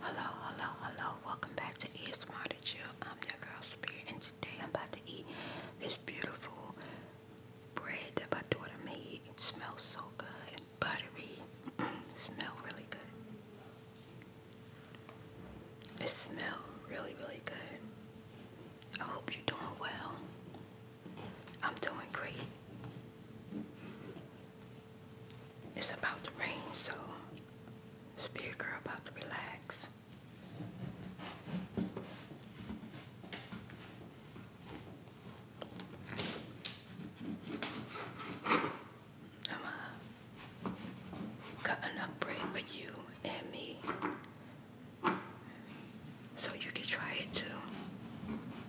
Hello, hello, hello. Welcome back to Eat Smart at You. I'm your girl Spirit, and today I'm about to eat this beautiful bread that my daughter made. smells so good. Buttery. smell really good. It smells really, really good. I hope you're doing well. I'm doing great it's about to rain, so spirit girl about to relax. I'm uh, cutting up bread for you and me so you can try it too.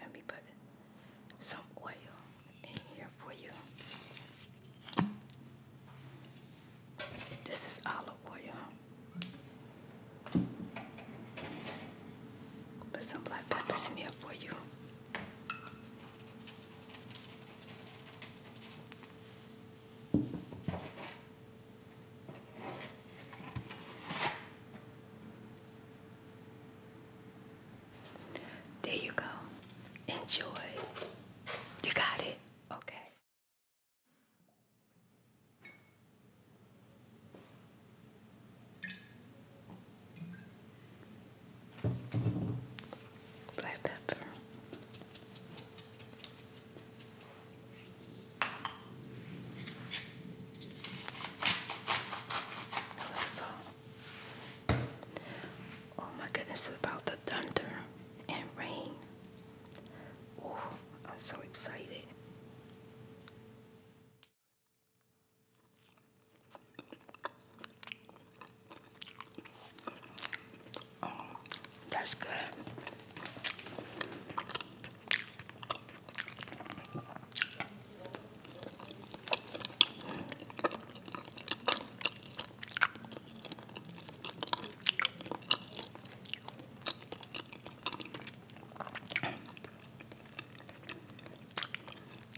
Let me put some oil in here for you. This is olive oil. Put some black pepper in there for you. There you go. Enjoy. You got it. Okay black pepper. oh my goodness, about the thunder and rain. Oh, I'm so excited that's good.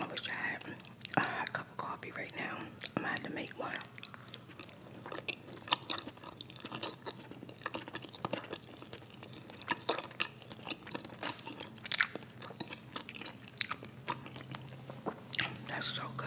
I wish I had a hot coffee right now. I'm gonna have to make one. That's so good.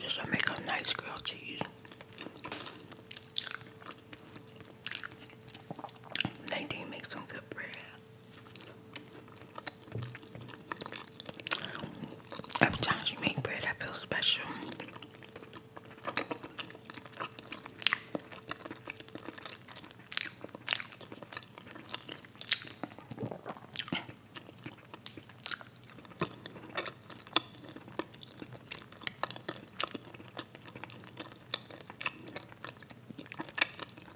Just to make a nice grilled cheese. Nadine makes some good bread. Every time she make bread, I feel special.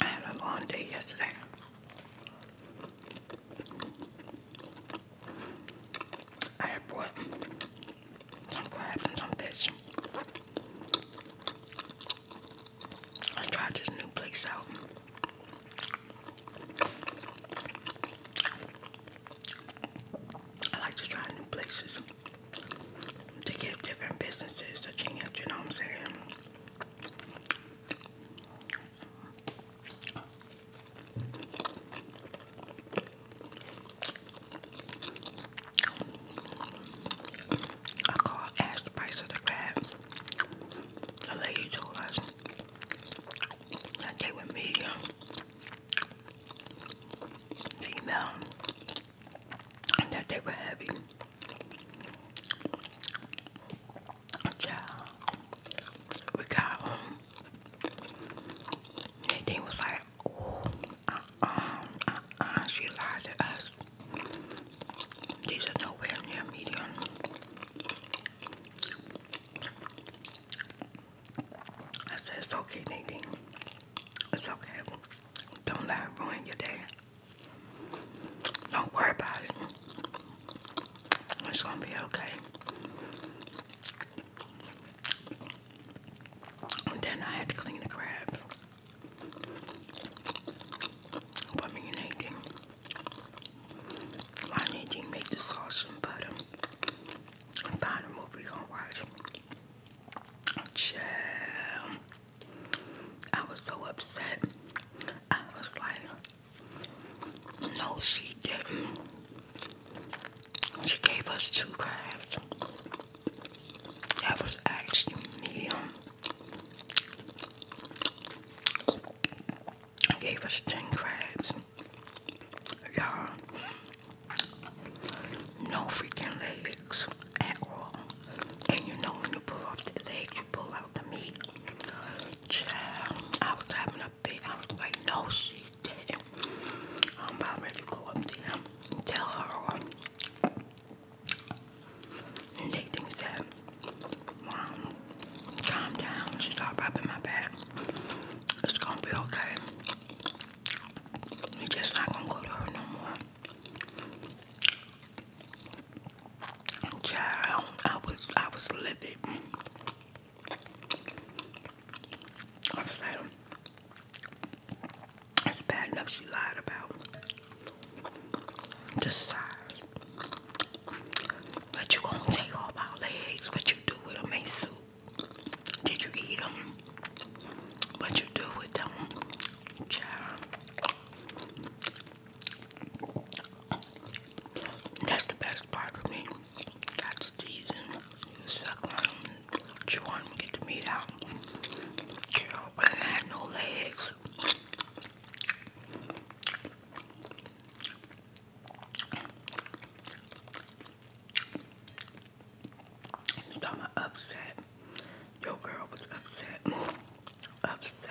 I had a long day yesterday. I had bought some crabs some fish. I tried this new place out. I like to try new places to get different businesses to change. you know what I'm saying? I called, asked the price of the crab. The lady told us that they were medium, female, and that they were heavy. we got them. Um, was like uh-uh, uh-uh, she lied to us. These are nowhere near medium. I said, it's okay, Nadine. It's okay. Don't let it ruin your day. Don't worry about it. It's gonna be okay. then I had to clean the crab. Pomeranian. I need to make the sauce and butter. And find a movie on watch. Child. I was so upset. I was like, no, she didn't. She gave us two crabs. That was actually me. I um, Gave us 10 crabs. Y'all, no freaking legs at all. And you know, when you pull off the legs, you pull out the meat. I was having a fit. I was like, no, she didn't. I'm about ready to go up to him tell her. And Nathan said, Mom, calm down. She started rubbing my back. It's gonna be okay. You're just not gonna go to her no more. Child, I was I was livid. I was like, that's bad enough You lied about the size. But you gonna take off my legs? What you do with them? Ain't soup. Did you eat them? What you do with them? Child. That's the best part of me. That's teasing suck on them, chew on them, get the meat out. Girl, I had no legs. You talking upset? Your girl was upset. Upset.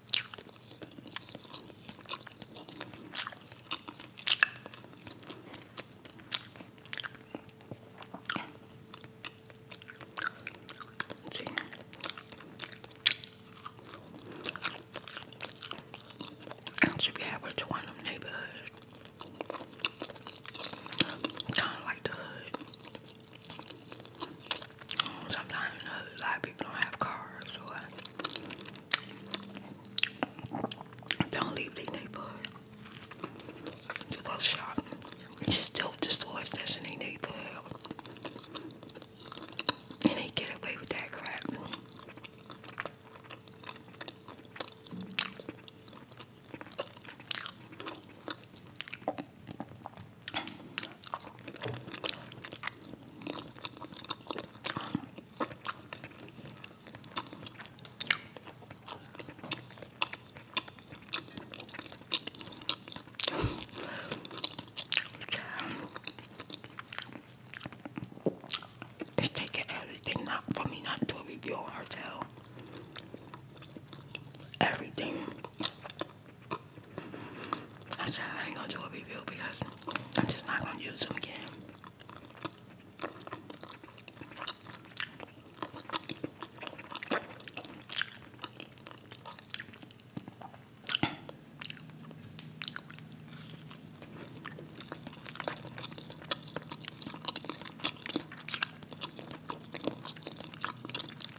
See? I should be able to one of Kind of like the hood sometimes a lot of people don't have cars so I don't leave their neighborhood to go shop. It's just dope the stores that's in their neighborhood. And they get away with that crap. It's taking everything not for me not to review a hotel. Everything. I said I ain't gonna do a review because I'm just not gonna use them again.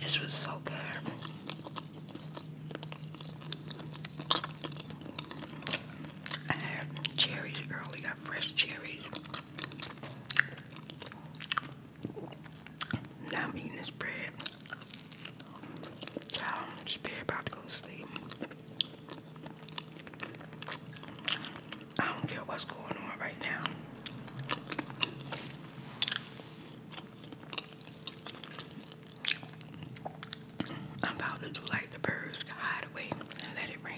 This was so good. I had cherries earlier, fresh cherries. Now I'm eating this bread. Child, I'm about to go to sleep. I don't care what's going on right now. I'm about to do like the birds, hide away and let it rain.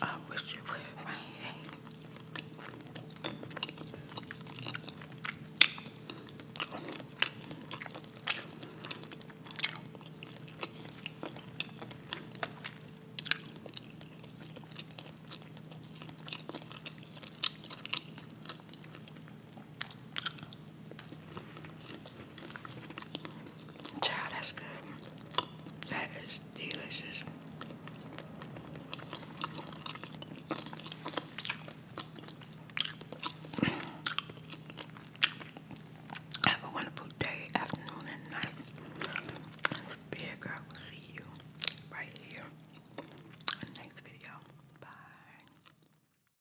I wish you would rain. Child, that's good. That is delicious. Have a wonderful day, afternoon, and night. This big girl see you right here next video. Bye.